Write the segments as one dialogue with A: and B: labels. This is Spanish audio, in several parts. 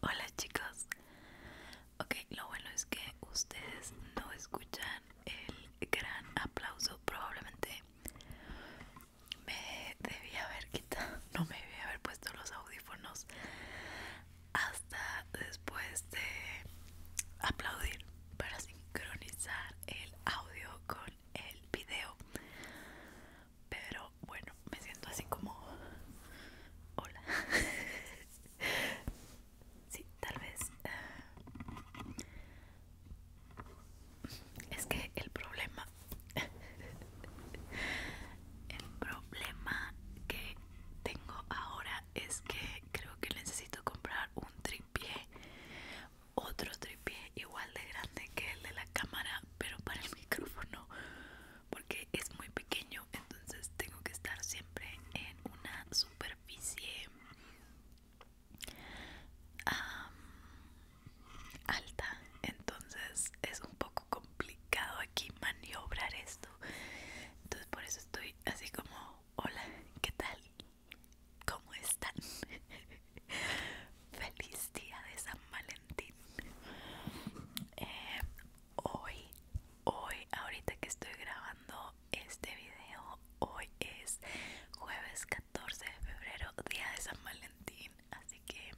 A: Hola chicos. Ok, lo bueno es que ustedes no escuchan el gran aplauso. Probablemente me debía haber quitado, no me debía haber puesto los audífonos hasta después de aplaudir para sincronizar el audio con el video pero bueno me siento así como hola sí tal vez eh, es que el problema el problema que tengo ahora es que creo que necesito comprar un tripié otro tripié igual de grande que el de la cámara pero para el micrófono porque es muy pequeño entonces tengo que estar siempre en una superficie alta entonces es un poco complicado aquí maniobrar esto entonces por eso estoy así como hola qué tal cómo están feliz día de San Valentín eh, hoy, hoy, ahorita que estoy grabando este video, hoy es jueves 14 de febrero, día de San Valentín. Así que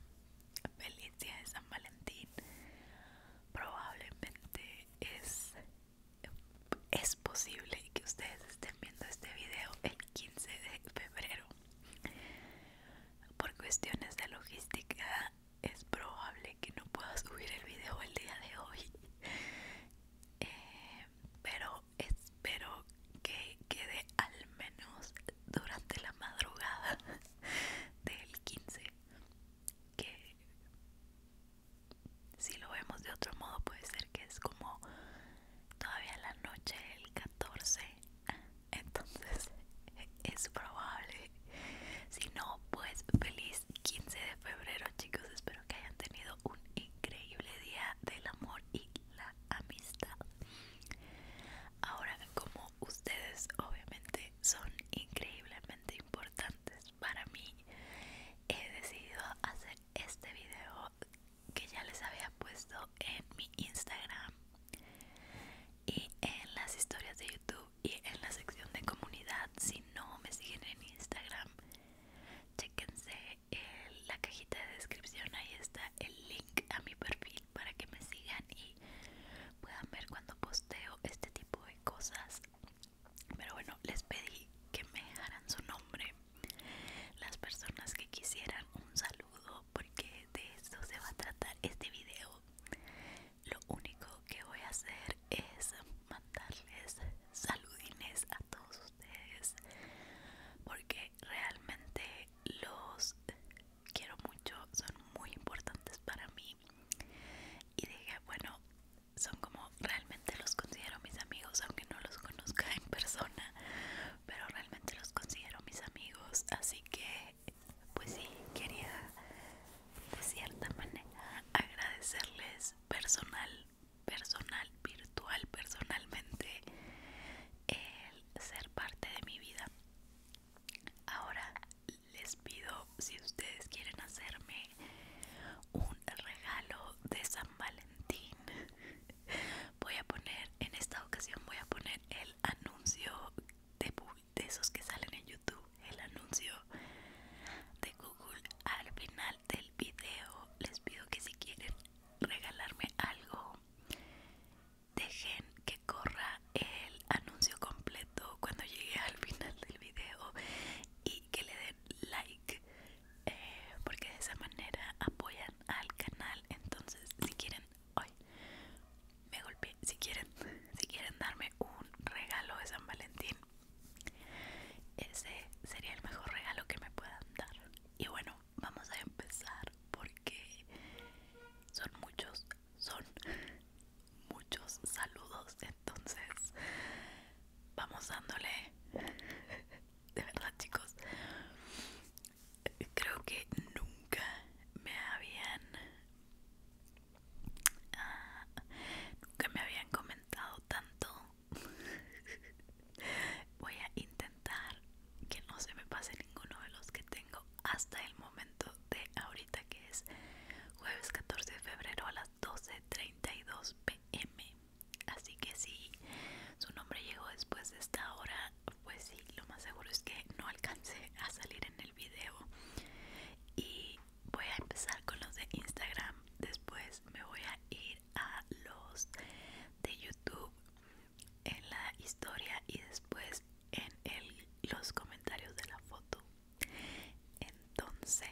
A: feliz día de San Valentín. Probablemente es es posible que ustedes estén viendo este video el 15 de febrero por cuestiones de logística es probable que no pueda subir el video el día de hoy. Eh, pero espero que quede al menos durante la madrugada del 15. Que si lo vemos de otro modo puede ser que es como todavía la noche el 14 entonces es probable si no pues feliz 15 de febrero chicos espero que hayan tenido un increíble día del amor y la amistad ahora como ustedes obviamente son increíblemente importantes para mí he decidido hacer este video que ya les había puesto en mi instagram y en las historias de YouTube y en la sección de comunidad si no me siguen en Instagram chequense en la cajita de descripción ahí está el link a mi perfil para que me sigan y puedan ver cuando posteo este tipo de cosas pero bueno les pedí que me dejaran su nombre las personas que quisieran un saludo porque de eso se va a tratar este video. Lo único que voy a hacer es mandarles saludines a todos ustedes porque realmente los quiero mucho, son muy importantes para mí. Y dije, bueno, son como realmente los considero mis amigos, aunque no los conozca en persona, pero realmente los considero mis amigos, así que pues sí, quería de cierta manera agradecerles personal, personal, virtual, personalmente el ser parte de mi vida. Ahora les pido si ustedes quieren hacerme un regalo de San Valentín. Voy a poner, en esta ocasión voy a poner el anuncio de, esos que salen en YouTube, el anuncio de Google al final del video. Les pido que si quieren regalarme algo, dejen que corra el anuncio completo cuando llegue al final del video y que le den like, eh, porque de esa manera apoyan al canal. Entonces, si quieren hoy me golpeé. Si quieren, si quieren darme un regalo de San Valentín, ese sería el mejor regalo que me puedan dar. Y bueno, vamos a empezar porque son muchos, son muchos saludos. Entonces, vamos dándole. De verdad, chicos, creo que nunca me habían ah, nunca me habían comentado tanto voy a intentar que no se me pase ninguno de los que tengo hasta el momento de ahorita que es jueves 14 de febrero a las 12.32 pm así que si su nombre llegó después de esta hora pues sí, lo más seguro es que no alcancé a salir en el video. Y voy a empezar con los de Instagram. Después me voy a ir a los de YouTube en la historia y después en los comentarios de la foto. Entonces,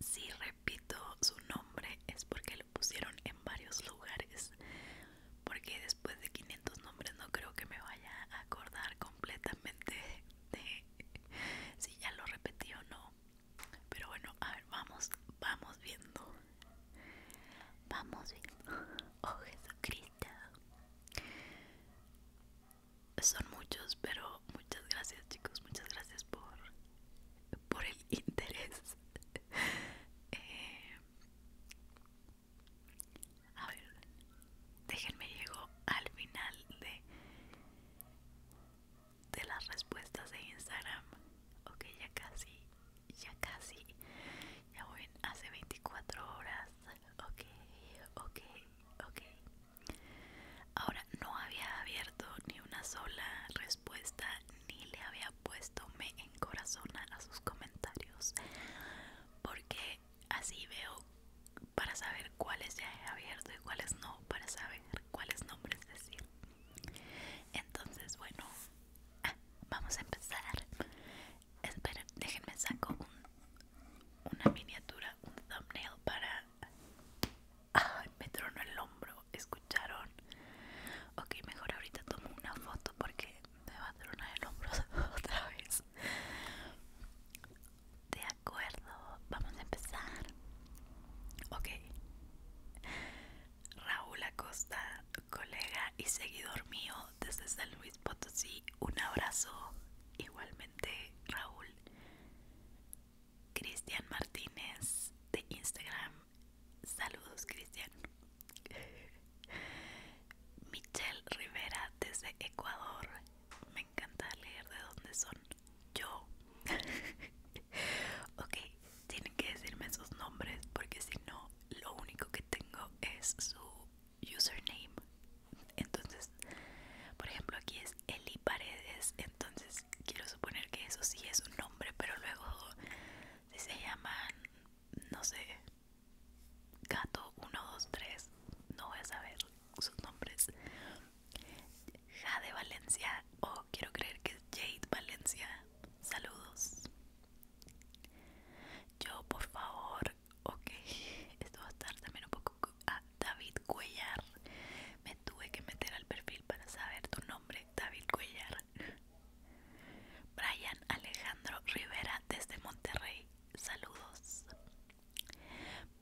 A: si repito su nombre es porque lo pusieron en varios lugares porque después de 500 nombres no creo que me vaya a acordar completamente de si ya lo repetí o no. Pero bueno, a ver, vamos, vamos viendo. Vamos viendo. Oh Jesucristo. Son muchos, pero muchas gracias chicos, muchas gracias por, por el interés. eh, a ver, déjenme llego al final de de las respuestas de Instagram. Ok, ya casi, ya casi. Ya voy hace 24 horas. Ok, ok, ok. Ahora no había abierto ni una sola respuesta ni le había puesto me corazón a sus comentarios porque así veo para saber cuáles ya he abierto y cuáles no, para saber cuáles nombres decir. Entonces, bueno, ah, vamos a empezar. Esperen, déjenme saco un, una miniatura, un thumbnail para... Ay, me trono el hombro, ¿escucharon? Ok, mejor ahorita tomo una foto porque me va a hacer una del hombro otra vez. De acuerdo, vamos a empezar. Ok. Raúl Acosta, colega y seguidor mío desde San Luis Potosí, un abrazo. Igualmente, Raúl. Cristian Martínez de Instagram. Saludos, Cristian. Michelle Rivera desde Ecuador. Me encanta leer de dónde son. Yo. ok, tienen que decirme sus nombres porque si no, lo único que tengo es su username. Entonces, por ejemplo, aquí es Eli Paredes. Entonces, quiero suponer que eso sí es un nombre, pero luego, si se llaman, no sé, Gato 123, no voy a saber sus nombres. Jade Valencia, o quiero creer que es Jade Valencia. Saludos. Yo, por favor, ok, esto va a estar también un poco. A ah, David Cuellar. Me tuve que meter al perfil para saber tu nombre, David Cuellar. Brian Alejandro Rivera desde Monterrey, saludos.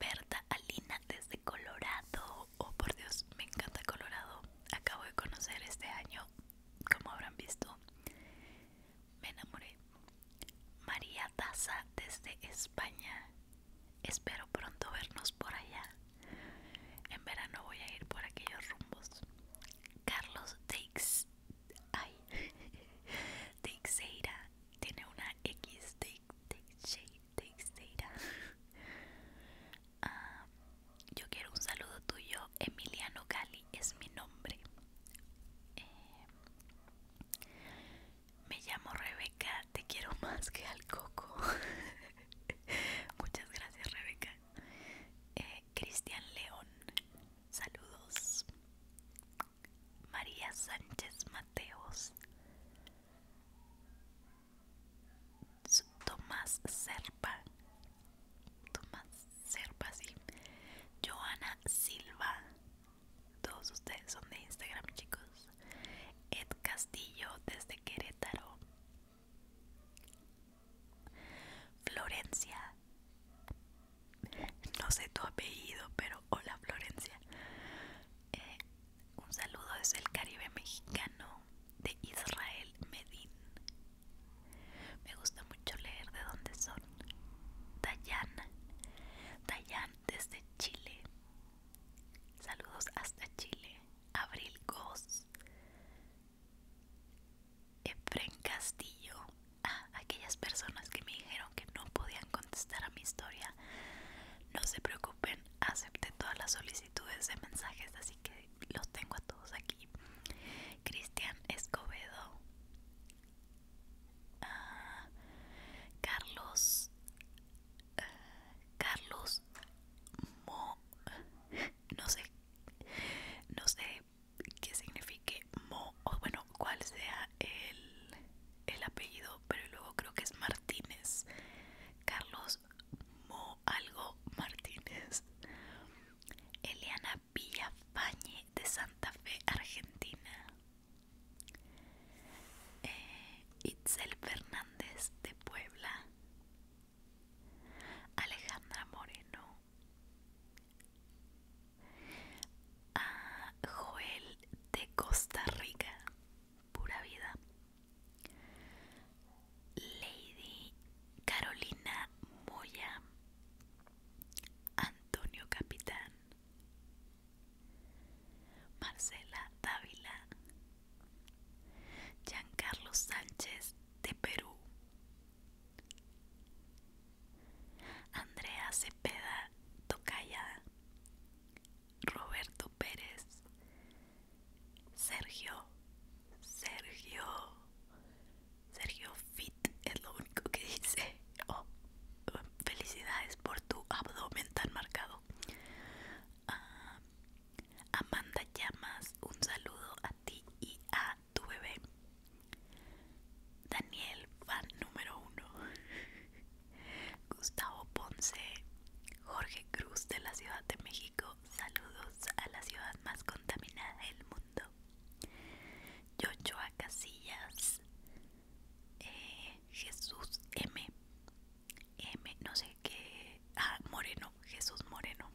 A: Berta Alina desde Colorado, oh por Dios, me encanta Colorado. Acabo de conocer este año, como habrán visto, me enamoré. María Taza desde España, espero pronto vernos por allá. En verano voy a ir por aquellos rumbos. Carlos Dix ay, Teixeira tiene una X, Teixeira. Ah, yo quiero un saludo tuyo, Emiliano Gali es mi nombre. Eh, me llamo Rebeca, te quiero más que al coco. Muchas gracias, Rebeca. Eh, Cristian León, Saludos. María Sánchez Mateos. Tomás Serpa. Tomás Serpa, sí. Joana Silva. Todos ustedes son de Instagram, chicos. Ed Castillo desde Querétaro. Florencia. No sé tu apellido, pero hola Florencia. Eh, un saludo desde el Caribe mexicano de Israel Medin. Me gusta mucho leer de dónde son. Dayan. Dayan desde Chile. Saludos hasta Chile. Abril Goss. Efren Castillo, Ah, aquellas personas que me dijeron que no podían contestar a mi historia, no se preocupen, acepté todas las solicitudes de mensajes, así que los tengo a todos aquí. Cristian Escobedo, Ah, Carlos, eh, Carlos Mo, no sé, no sé que signifique Mo, o bueno, cuál sea el, apellido, pero luego creo que es Martínez. Carlos Mo, algo Martínez. Eliana Villafañe de Santa Fe, Argentina. Eh, Itzel Fernández de Puebla. Alejandra Moreno. Joel de Costa Rica, pura vida. Lady Carolina Moya, Antonio Capitán, Marcela Dávila, Giancarlo Sánchez de Perú, Andrea Cepeda Tocaya, Roberto Pérez, Sergio, Sergio, Sergio Fit es lo único que dice. Oh, felicidades por tu abdomen tan marcado. Ah, Amanda Llamas, un saludo a ti y a tu bebé. Daniel, fan número uno. Gustavo Ponce, Jorge Cruz de la Ciudad de México, saludos a la ciudad más contaminada del mundo. Yochoa Casillas, eh, Jesús M. M, no sé qué. Ah, Moreno, Jesús Moreno.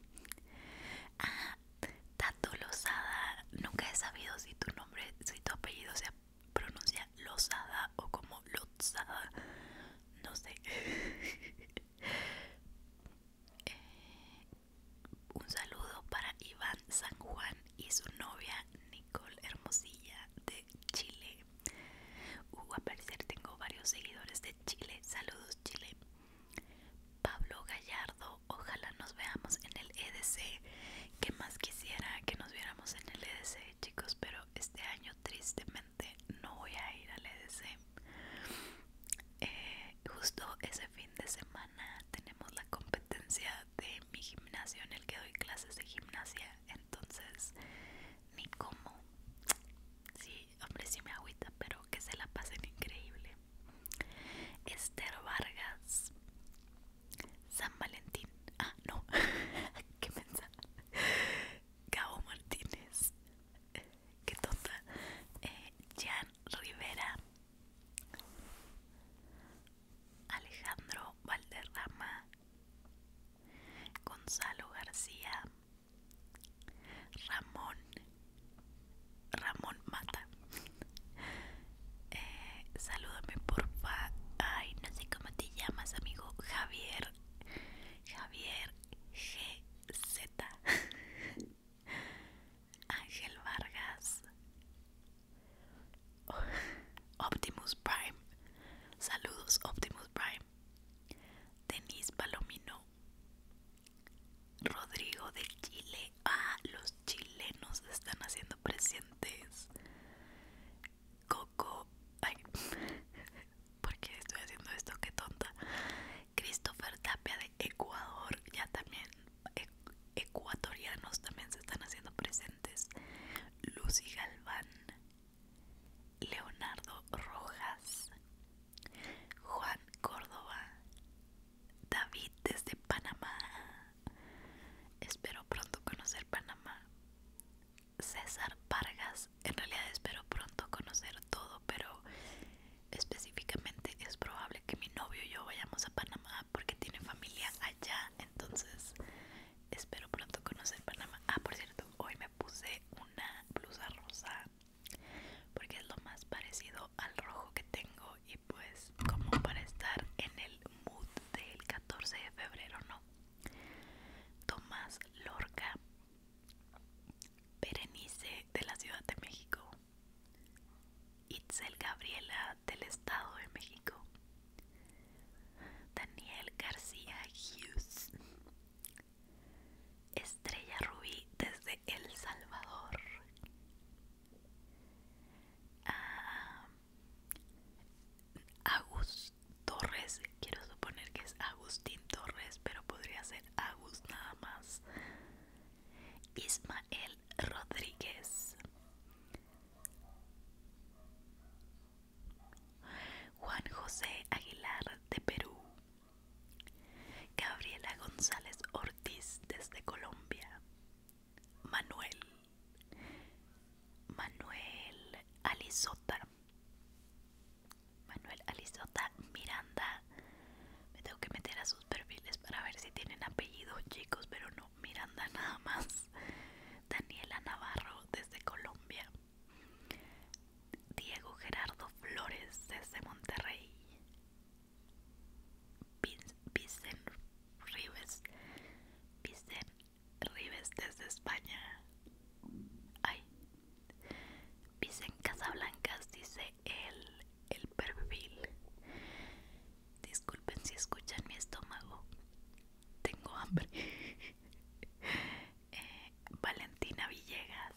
A: Tato losada nunca he sabido si tu nombre, si tu apellido se pronuncia losada o como Lozada, no sé. Eh, un saludo para Iván San Juan y su novia Nicole Hermosilla de Chile. Uh, a parecer tengo varios seguidores de Chile. Saludos Chile. Pablo Gallardo, ojalá nos veamos en el EDC. Que más quisiera que nos viéramos en el EDC, chicos, pero este año tristemente no voy a ir al EDC. Eh, justo ese fin de semana tenemos la competencia de mi gimnasio en el que doy clases de gimnasia, entonces ni como. Sí, hombre, sí me agüita, pero que se la pasen increíble. Esther Vargas, San Valentín, ah, no, qué Gabo Martínez, qué tonta, eh, Jan Rivera, Alejandro Valderrama, Gonzalo García, Ramón Ramón Mata. Eh, salúdame porfa. Ay, no sé cómo te llamas, amigo. Javier. Javier GZ. Ángel Vargas. Optimus Prime. Saludos, Optimus Prime. Denise Palomino. Rodrigo de Chile. Ah, los chilenos se están haciendo presentes. Coco. Ay, ¿por qué estoy haciendo esto? Qué tonta. Christopher Tapia de Ecuador. Ya también. E, ecuatorianos también se están haciendo presentes. Lucy Galván. Leonardo Rojas. Juan Córdoba. David desde Panamá. Espero pronto conocer Panamá. César Vargas, en realidad espero pronto conocer todo, pero específicamente es probable que mi novio y yo vayamos a Panamá porque tiene familia allá, entonces espero pronto conocer Panamá. Ah, por cierto, hoy me puse una blusa rosa porque es lo más parecido al rojo que tengo y pues como para estar en el mood del 14 de febrero, ¿no? Tomás Lorca, Perenice de la Ciudad de México, Itzel Gabriela del Estado de México, Daniel García Hughes. Estrella Ruby desde El Salvador. Ah, Agus Torres, quiero suponer que es Agustín Torres, pero podría ser Agus nada más. Ismael Rodríguez. Juan José Aguilar de Perú. Gabriela González Ortiz desde Colombia. Manuel. Manuel Alizota. Manuel Alizota Miranda. Me tengo que meter a sus perfiles para ver si tienen apellido, chicos, pero no, Miranda nada más. Daniela Navarro desde Colombia. Diego Gerardo Flores desde Monterrey. Pisen Rives Pisen Rives desde España Ay Pisen Casablancas dice el, el perfil Disculpen si escuchan mi estómago Tengo hambre eh, Valentina Villegas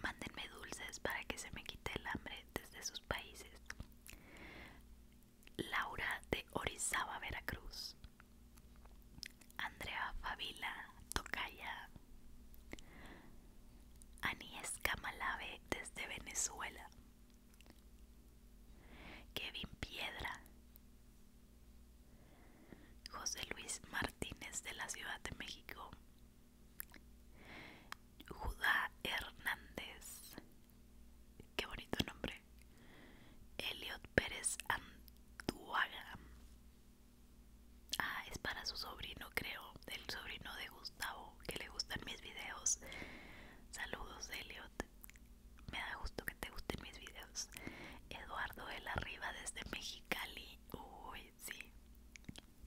A: Mándenme dulces para que se me quite el hambre desde sus países. Laura de Orizaba, Veracruz. Andrea Fabila Tocaya. Anies Camalave desde Venezuela. Kevin Piedra. José Luis Martínez de la Ciudad de México. Judá Hernández. Qué bonito nombre. Eliot Pérez Antuaga. Ah, es para su sobrino, creo. El sobrino de Gustavo, que le gustan mis videos. Saludos, Eliot. Me da gusto que te gusten mis videos. Eduardo El Arriba desde Mexicali. Uy, Sí,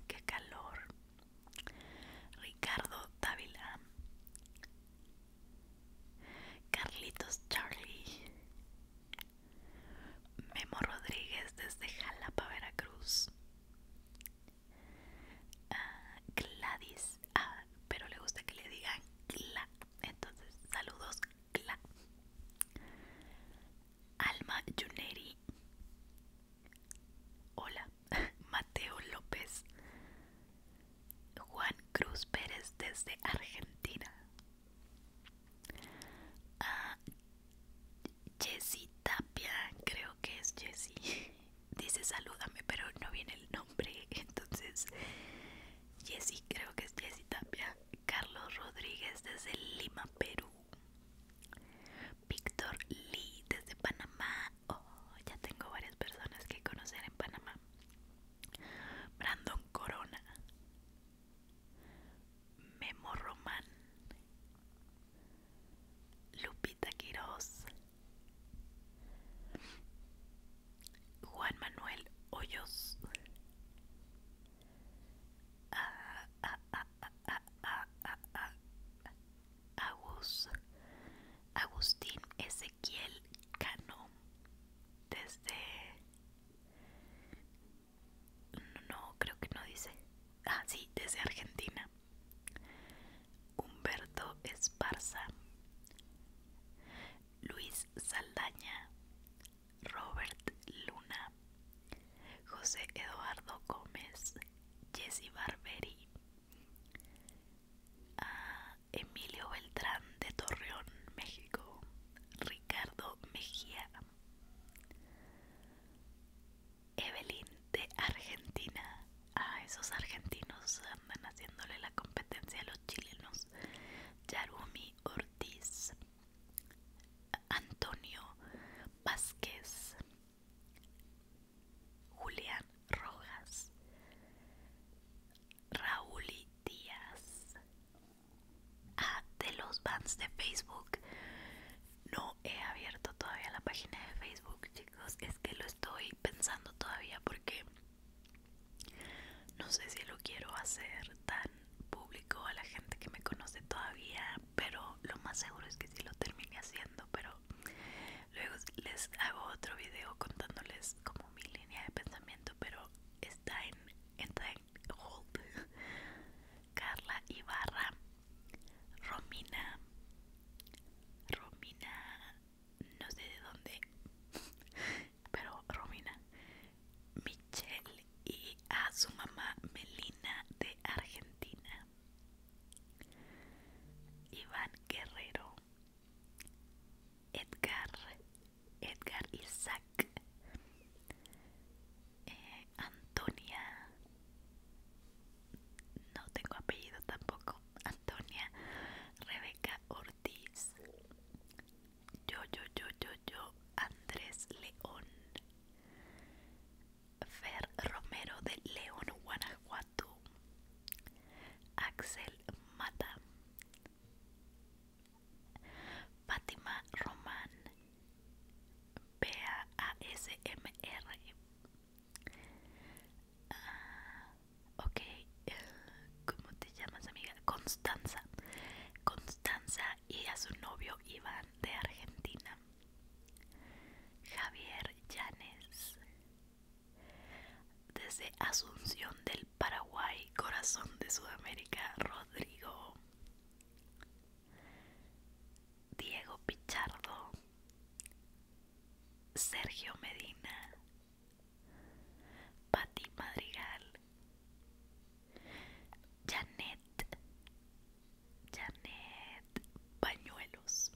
A: qué calor. Ricardo Dávila. Carlitos Charlie. Memo Rodríguez desde Jalapa, Veracruz. Ah, Gladys. Ah, pero le gusta que le digan Gla. Entonces, saludos Gla. Alma Juneri. Hola, Mateo López. Juan Cruz Pérez desde Argentina. Ah, Jesse Tapia, creo que es Jessy. Dice salúdame, pero no viene el nombre. Entonces, Jessy, creo que es Jessy Tapia. Carlos Rodríguez desde Lima, Perú. Víctor Lee desde Panamá. Oh, ya tengo varias personas que conocer en Panamá. Brandon Corona. Memo Román. Lupita Quiroz. Juan Manuel Hoyos. ah, ah, ah. Agus, Agustín Ezequiel Cano desde no creo que no dice ah sí desde Argentina Humberto Esparza Luis Saldaña Robert Luna José Eduardo Gómez, Jesse Barberi, Emilio Beltrán de Torreón, México, Ricardo Mejía, Evelyn de Argentina, a ah, esos argentinos andan haciéndole la competencia a los chilenos, Yarumi Ortiz, Antonio Vázquez, Julián Rojas, Raúl Díaz. Ah, de los bands de Facebook. No he abierto todavía la página de Facebook, chicos. Es que lo estoy pensando todavía porque no sé si lo quiero hacer tan público, a la gente que me conoce todavía, pero lo más seguro es que sí lo termine haciendo, pero luego les hago otro video contándoles como mi línea de pensamiento, pero está en, en Carla Ibarra, Romina, Romina, no sé de dónde, pero Romina, Michelle y a su mamá Melina de Argentina. Iván Guerrero, Edgar, Edgar Isaac, eh, Antonia, no tengo apellido tampoco, Antonia, Rebeca Ortiz, yo, yo, yo, yo, yo, Andrés León, Fer Romero de León, Guanajuato. Axel Mata. Fátima Román. b a ah, ok, ¿cómo te llamas, amiga? Constanza. Constanza y a su novio Iván de Argentina. Javier Llanes. Desde Asunción del Paraguay, corazón de Sudamérica, Rodrigo. Diego Pichardo. Sergio Medina. Pati Madrigal. Janet Janet Pañuelos,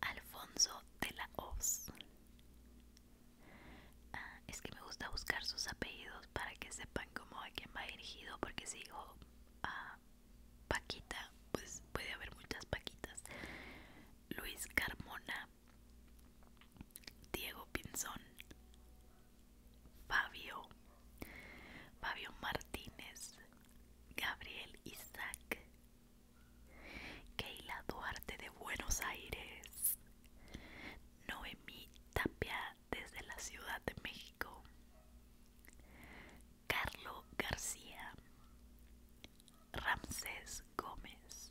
A: Alfonso de la OZ ah, es que me gusta buscar sus apellidos para que sepan como a quién va dirigido, porque si a ah, Paquita, pues puede haber muchas Paquitas. Luis Carmona, Diego Pinzón, Fabio, Fabio Martínez, Gabriel Isaac, Keila Duarte de Buenos Aires, Noemí Tapia desde la Ciudad de México, Carlo García, Ramsés Gómez,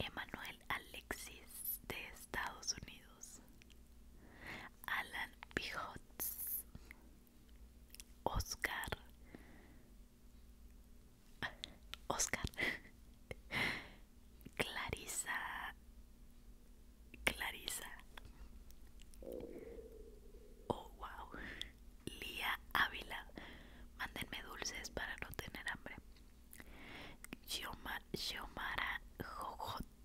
A: Emanuel Alexis de Estados Unidos, Alan Pijots, Oscar, Oscar, Clarisa, Clarisa, oh wow, Lía Ávila, mándenme dulces para no tener hambre. Xiomara Jojot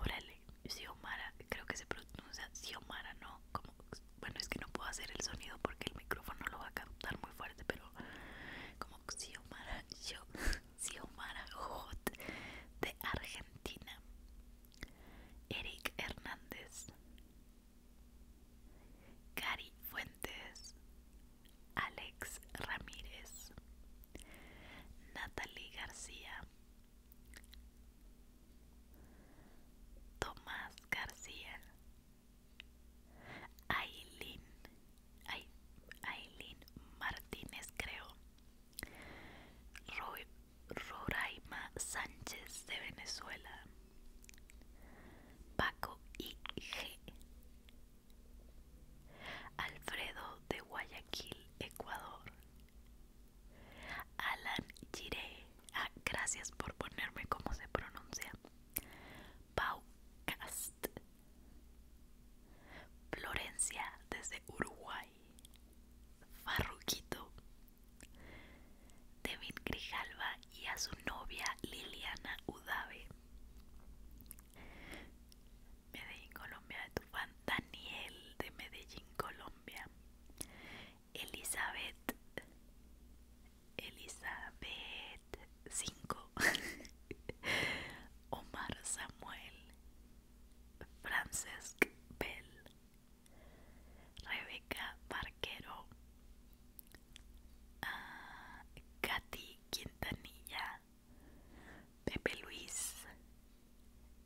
A: Órale, Xiomara, creo que se pronuncia Xiomara, ¿no? Como, bueno, es que no puedo hacer el sonido porque el micrófono lo va a captar muy fuerte, pero como Xiomara, Jojot de Argentina. Eric Hernández. Gary Fuentes. Alex Ramírez, Natalie García, Tomás García, Aileen, Martínez creo, Roraima Sánchez de Venezuela, Paco IG, Alfredo de Guayaquil, Ecuador. Alan Giré, ah, gracias por ponerme como se pronuncia. Pau Cast. Florencia desde Uruguay. Farruquito. Devin Grijalva y a su novia Liliana Udave. Medellín, Colombia, de tu fan Daniel de Medellín, Colombia. Elizabeth, Elizabeth 5. Omar Samuel, Francesc Bell, Rebeca Barquero, ah, Katy Quintanilla, Pepe Luis,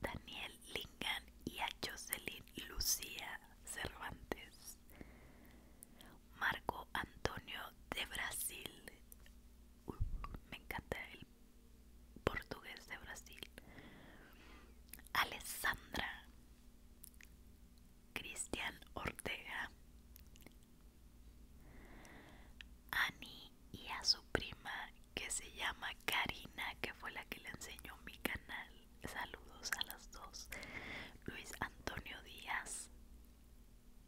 A: Daniel Lingan y a Jocelyn Lucía Cervantes, Marco Antonio de Brasil, me encanta el portugués de Brasil, Alessandra, Cristian Ortega, Ani y a su prima que se llama Karina, que fue la que le enseñó mi canal. Saludos a las dos. Luis Antonio Díaz,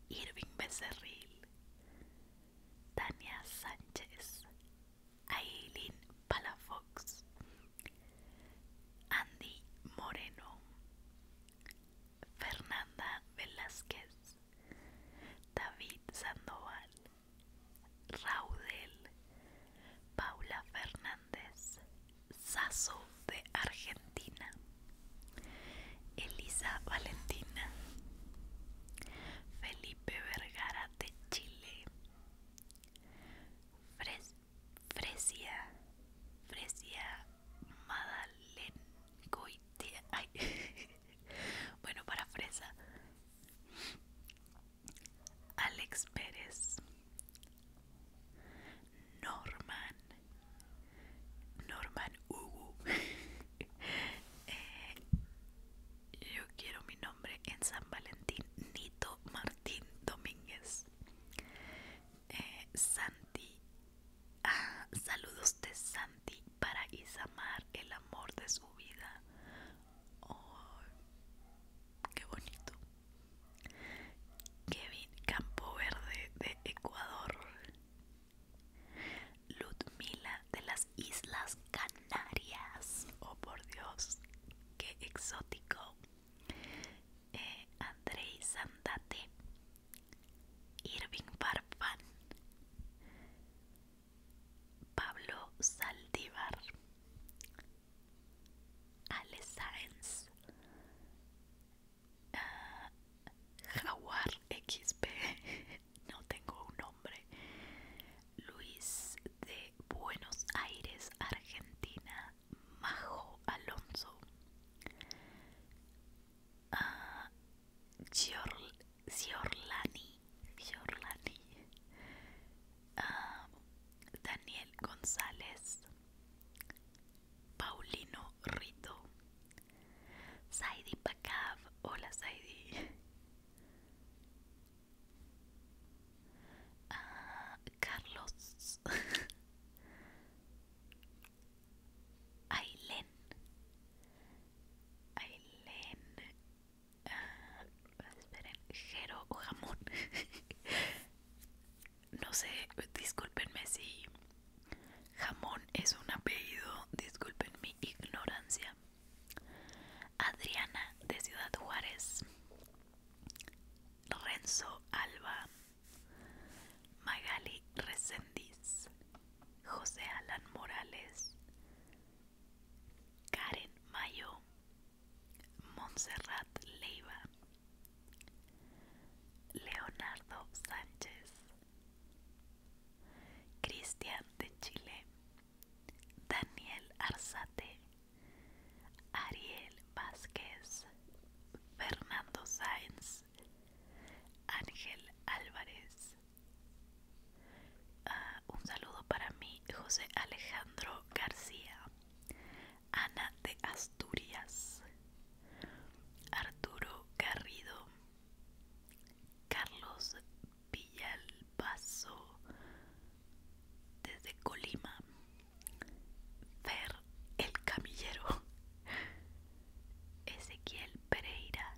A: Irving Becerril, Tania Sánchez, Aileen Palafox, Andy Moreno, Fernanda Velázquez, David Sandoval, Raudel, Paula Fernández, Sasso de Argentina, Elisa Valentina, Felipe Vergara de Chile, frecia Fresia, Fresia Madalen bueno, para fresa. Alex Pérez. Norman. Norman Hugo. Eh, yo quiero mi nombre en San Valentín. Nito Martín Domínguez. Eh, Santi Ah, saludos de Santi para Isamar, el amor de su vida. Oh, qué bonito. Kevin Campo Verde de Ecuador. Ludmila de las Islas Canarias. Oh, por Dios, qué exótico. Eh, Andrei Sandate. Irving Barfan Pablo Saldívar, Ale Sáenz, eh, Jaguar XP, no tengo un nombre, Luis de Buenos Aires, Argentina, Majo Alonso, uh, Giorlani, Giorlani ah, Daniel González, Paulino Rito, Saidi Pakav hola Saidi, ah, Carlos. Ailén. Ailén. Ah, Jero o jamón. no sé, discúlpenme si jamón es un apellido, disculpen mi ignorancia. Adriana de Ciudad Juárez. Renzo Alba. Magali Resendiz. José Alan Morales, Karen Mayo, Montserrat Leiva, Leonardo Sánchez, Cristian de Chile, Daniel Arzate, Ariel Vázquez, Fernando Sáenz, Ángel Álvarez, Ah, un saludo para mí, José Alejandro García, Ana de Asturias, Arturo Garrido, Carlos Villalbazo desde Colima, Fer el Camillero, Ezequiel Pereira,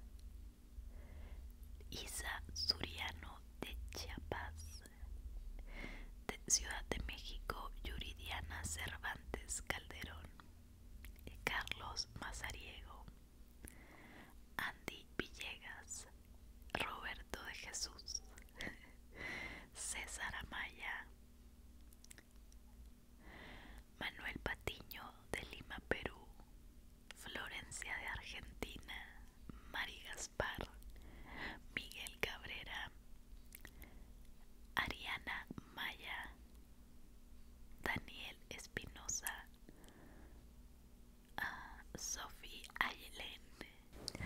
A: Isa Suriano de Chiapas, Ciudad de México, Yuridiana Cervantes Calderón, Carlos Mazariego, Andy Villegas, Roberto de Jesús, César Amaya, Manuel Patiño de Lima, Perú, Florencia de Argentina, Mari Gaspar, Miguel Cabrera, Ariana Maya, Daniel Espinosa, Sofi ah, Sophie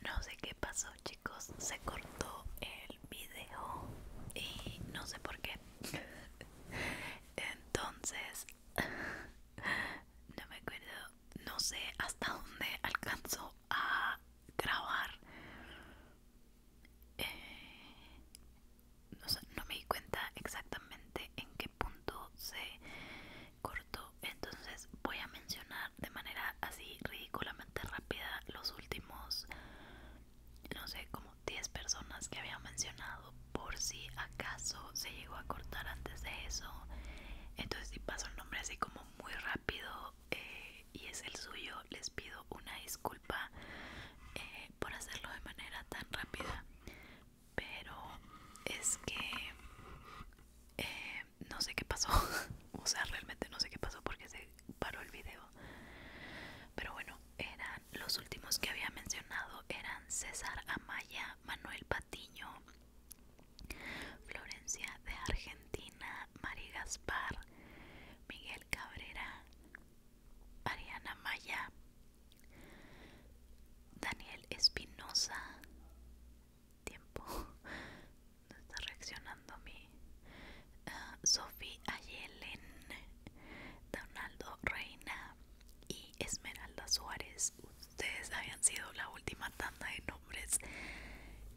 A: No sé qué pasó chicos, se cortó el video y no sé por qué. Entonces, no me acuerdo, no sé hasta dónde alcanzó a grabar. Eh, no, no me di cuenta exactamente en qué punto se cortó. Entonces voy a mencionar de manera así ridículamente rápida los últimos no sé, como 10 personas que había mencionado por si acaso se llegó a cortar antes de eso. Entonces si pasó el nombre así como muy rápido eh, y es el suyo, les pido una disculpa eh, por hacerlo de manera tan rápida. Pero es que eh, no sé qué pasó. o sea, realmente no sé qué pasó porque se paró el video. Pero bueno, eran los últimos que había mencionado eran César Amaya, Manuel Patiño, Florencia de Argentina, Mari Gaspar, Miguel Cabrera, Ariana Maya, Daniel Espinosa. Tiempo, no está reaccionando mi Sophie Ayelen, Donaldo Reina y Esmeralda Suárez. Ustedes habían sido la última tanda de nombres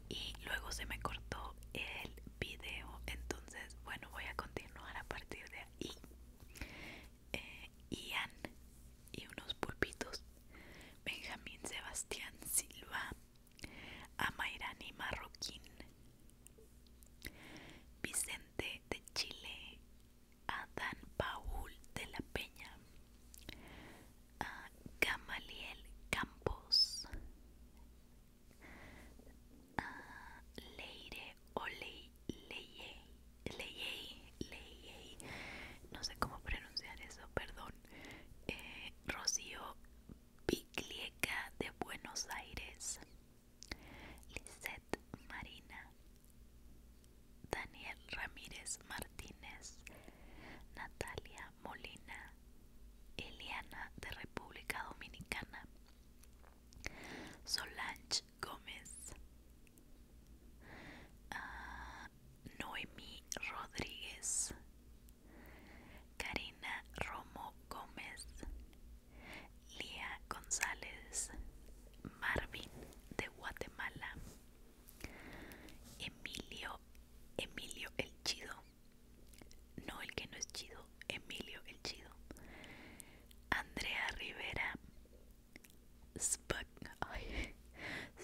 A: y luego se me cortó el video. Entonces, bueno, voy a continuar a partir de ahí. Eh, Ian y unos pulpitos. Benjamín Sebastián Silva. Amairani Marroquín. Vicente de Chile, Adán Paul de la Peña, a Camaliel Campos, a Leire o Leyey, Leyey, no sé cómo pronunciar eso, perdón, eh, Rocío Piclieca de Buenos Aires. Lisette Marina, Daniel Ramírez Martínez, Natalia Molina, Eliana de República Dominicana, Solange Gómez, ah, Noemí Rodríguez, Karina Romo Gómez, Lía González, Marvin de Guatemala, Emilio, Emilio el Chido, no el que no es chido, Emilio el Chido, Andrea Rivera,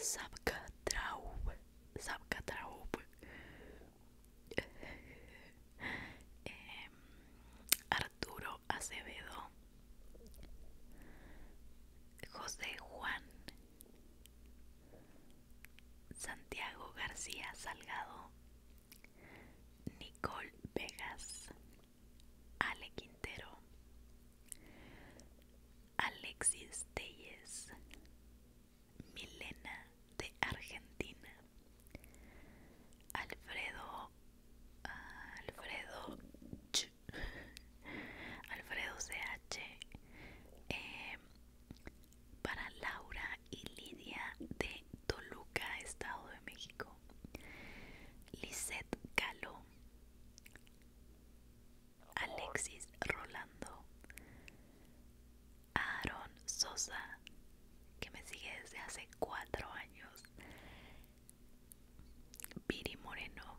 A: Sabka Traub, Arturo Acevedo, José Juan, Santiago García Salgado, Nicole Vegas, Ale Quintero, Alexis Telles, Milena de Argentina. Alfredo Alfredo Alfredo CH eh, para Laura y Lidia de Toluca, Estado de México. Lisette Calo Alexis Rolando Aaron Sosa, que me sigue desde hace cuatro años, Piri Moreno,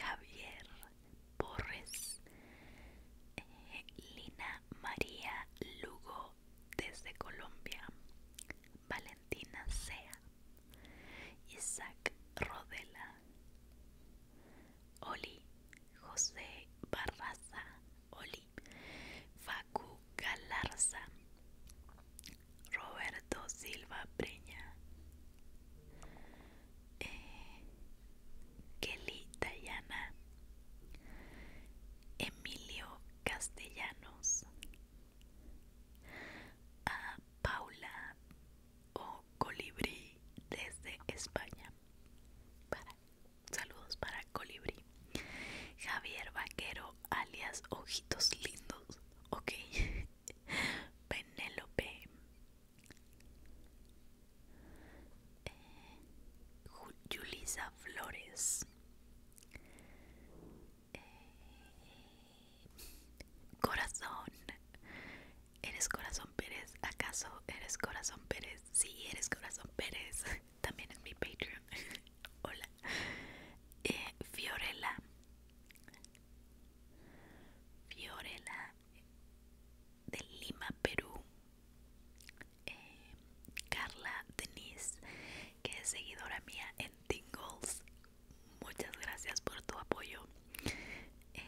A: Javier Porres eh, Lina María Lugo desde Colombia, Valentina Sea, Isaac Rodela, Oli José Barraza Oli, Facu Galarza, Roberto Silva Preña eh, Kelly Dayana, Emilio Castellanos, Paula o Colibrí desde España. Para Saludos para Colibri Javier Vaquero, alias Ojitos Lindos. Ok. Penélope. Eh, Julisa Flores. Eh, corazón. ¿Eres Corazón Pérez? ¿Acaso eres Corazón Pérez? Sí, eres Corazón Pérez. también en mi Patreon. Hola. Eh, Fiorella. Fiorella de Lima, Perú. Eh, Carla Denise, que es seguidora mía en Tingles. Muchas gracias por tu apoyo. Eh,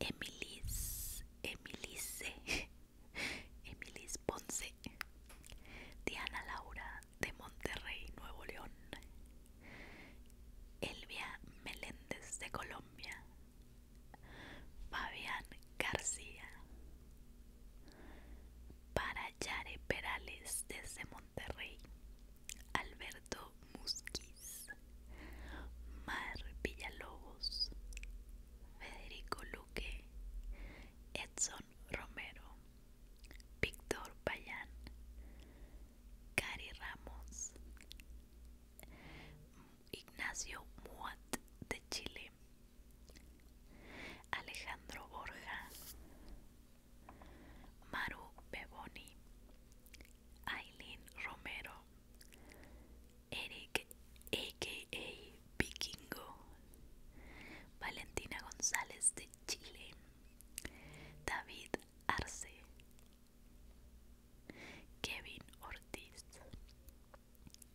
A: Emilis, Emilice, Emilis Ponce, Diana Laura de Monterrey, Nuevo León, Elvia Meléndez de Colombia, Fabián García, Parayare Perales desde Monterrey, Alberto Musquiz, Mar Villalobos, Federico Luque, Edson Romero, Víctor Payán, Cari Ramos, Ignacio Muat de Chile, Alejandro Borja, Maru Beboni, Aileen Romero, Eric a.k.a. Vikingo, Valentina González de Chile, David Arce, Kevin Ortiz,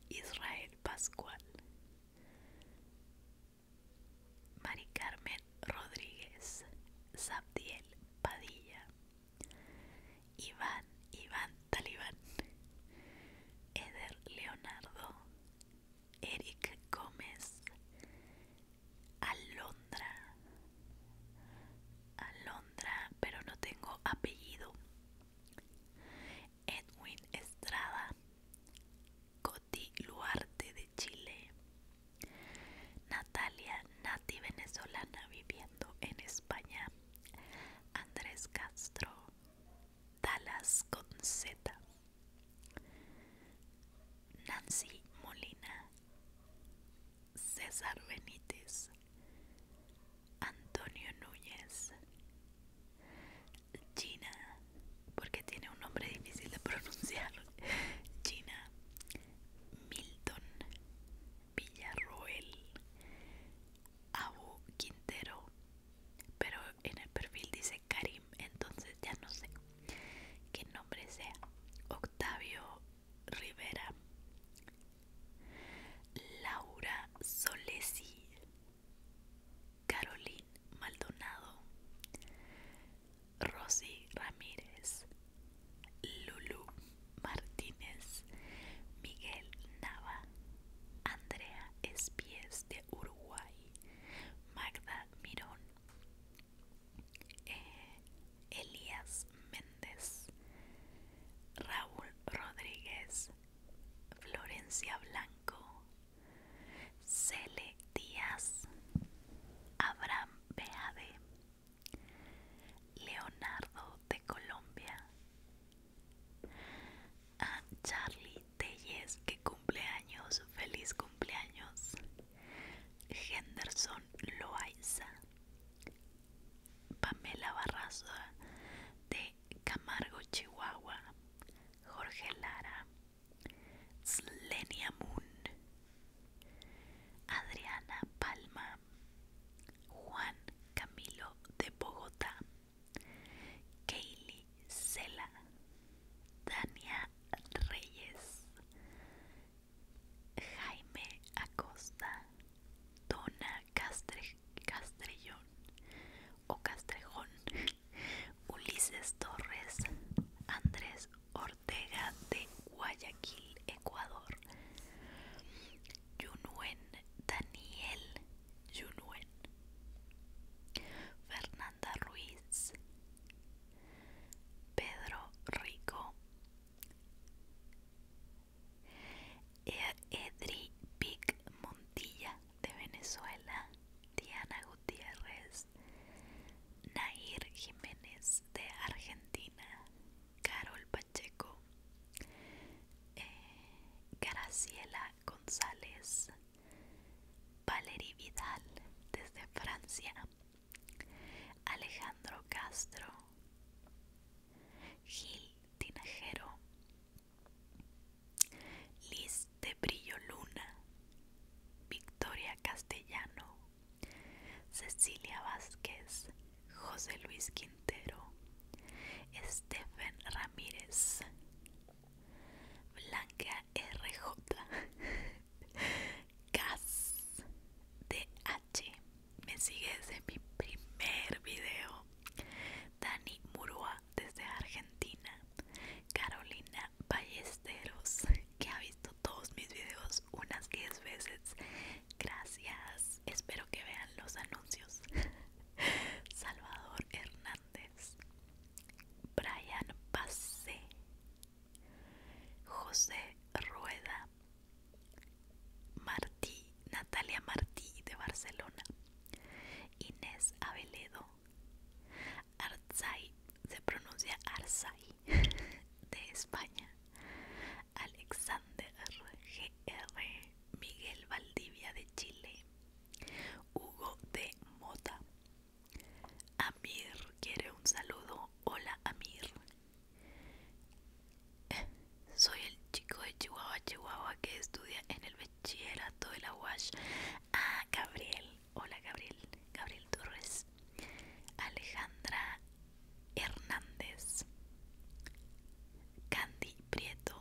A: Israel Pascual, Mari Carmen Rodríguez, Zabdiel Padilla, Iván, Iván Talibán, Eder Leonardo, Eric Gómez, Alondra, Alondra, pero no tengo apellido, Edwin Estrada, Coti Luarte de Chile, Natalia Nati venezolana viviendo en España, Andrés Castro, Dallas con Nancy Molina, César Benítez, Antonio Núñez, Gina, porque tiene un nombre difícil de pronunciar, Gina, Milton, Villarroel, Abu Quintero, pero en el perfil dice Karim, entonces ya no sé qué nombre sea. Octavio Rivera, Laura Solesi, Caroline Maldonado, Rosy Ramírez, Lulu Martínez, Miguel Nava, Andrea Espies de Uruguay, Magda Mirón, eh, Elías Méndez, Raúl Rodríguez, Florencia Blanco, Cele Díaz, Abraham Beade, Leonardo de Colombia, a Charlie Telles que cumpleaños, feliz cumpleaños. Henderson Loaiza. Pamela Barraza de Camargo, Chihuahua. Jorge Lara. Slenia Moon. Adriana Palma. Juan Camilo de Bogotá. Kaylee Sela, Dania Reyes, Jaime Acosta, Dona Castre, Castrellón o Castrejón, Ulises Torres, Andrés Ortega de Guayaquil, Ecuador, Yunuen Daniel Yunuen Fernanda Ruiz Pedro Rico e-, Edri Pic Montilla de Venezuela Diana Gutiérrez Nair Jiménez de Argentina Carol Pacheco eh, Graciela González, Valerie Vidal desde Francia, Alejandro Castro, Gil Tinajero, Liz de Brillo Luna, Victoria Castellano, Cecilia Vázquez, José Luis Quintero, Stephen Ramírez, Blanca RJ, Kaz DH, me sigue desde mi primer video, Dani Murúa desde Argentina, Carolina Ballesteros, que ha visto todos mis videos unas 10 veces. Gracias. Espero que vean los anuncios. Salvador Hernández, Brian Pase, José Rueda, Martí, Natalia Martí de Barcelona, Inés Aveledo, Arzai, se pronuncia Arzay de España, Alexander GR Miguel Valdivia de Chile, Hugo de Mota. Amir quiere un saludo. Hola Amir. Eh, soy el chico de Chihuahua, Chihuahua que estudia en el bachillerato de la UASH. Ah, Gabriel. Hola Gabriel. Gabriel Torres. Alejandra Hernández. Candy Prieto,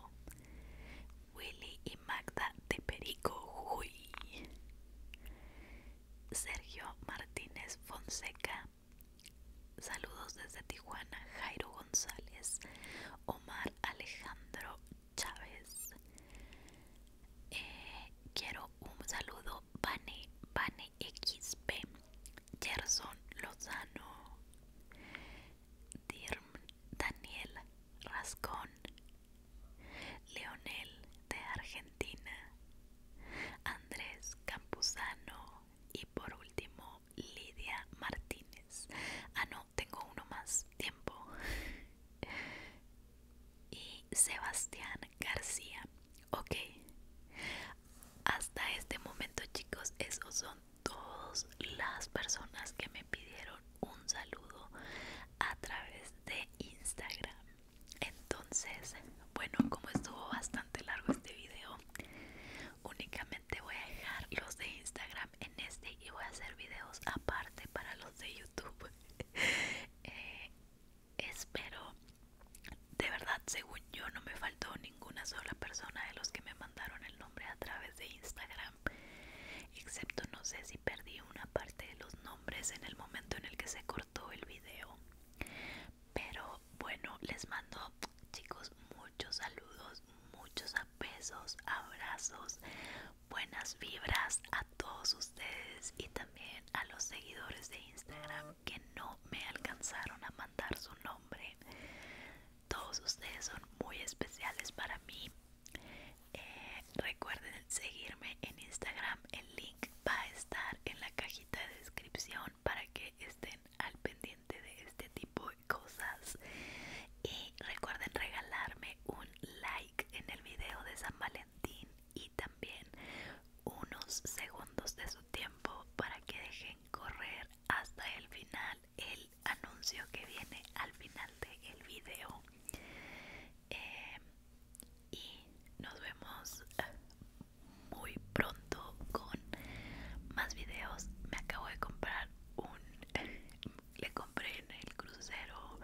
A: Willy y Magda de Perico Sergio Martínez Fonseca, saludos desde Tijuana, Jairo González, Omar Alejandro Chávez, eh, quiero un saludo, Pane Vane XP, Gerson Lozano, Dirm Daniel Rascón, Leonel de Argentina, Andrés Campuzano y por último Lidia Martínez. Ah, no, tengo uno más, tiempo. Y Sebastián García. Ok. Hasta este momento chicos, esos son todas las personas que me pidieron un saludo a través de Instagram. Entonces, bueno, como estuvo bastante largo este video, únicamente voy a dejar los de Instagram en este y voy a hacer videos aparte para los de YouTube. Eh, espero, de verdad, según yo no me faltó ni ninguna sola persona de los que me mandaron el nombre a través de Instagram, excepto no sé si perdí una parte de los nombres en el momento en el que se cortó el video. Pero bueno, les mando chicos muchos saludos, muchos besos, abrazos, buenas vibras a todos ustedes y también a los seguidores de Instagram que no me alcanzaron a mandar su nombre. Todos ustedes son muy especiales para mí. Eh, recuerden seguirme en Instagram. El link va a estar en la cajita de descripción para que estén al pendiente de este tipo de cosas. Y recuerden regalarme un like en el video de San Valentín y también unos segundos de su tiempo para que dejen correr hasta el final el anuncio que viene al final del de video em, y nos vemos ah, muy pronto con más videos me acabo de comprar un le compré en el crucero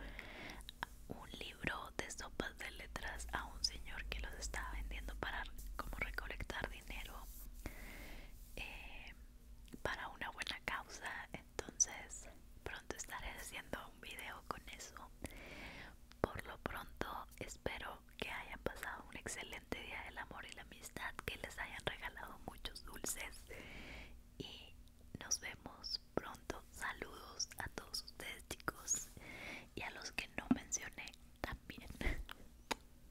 A: un libro de sopas de letras a un señor que los estaba vendiendo para como recolectar dinero em, para una buena causa entonces pronto estaré haciendo un video con eso por lo pronto espero que hayan pasado un excelente día del amor y la amistad que les hayan regalado muchos dulces y nos vemos pronto saludos a todos ustedes chicos y a los que no mencioné también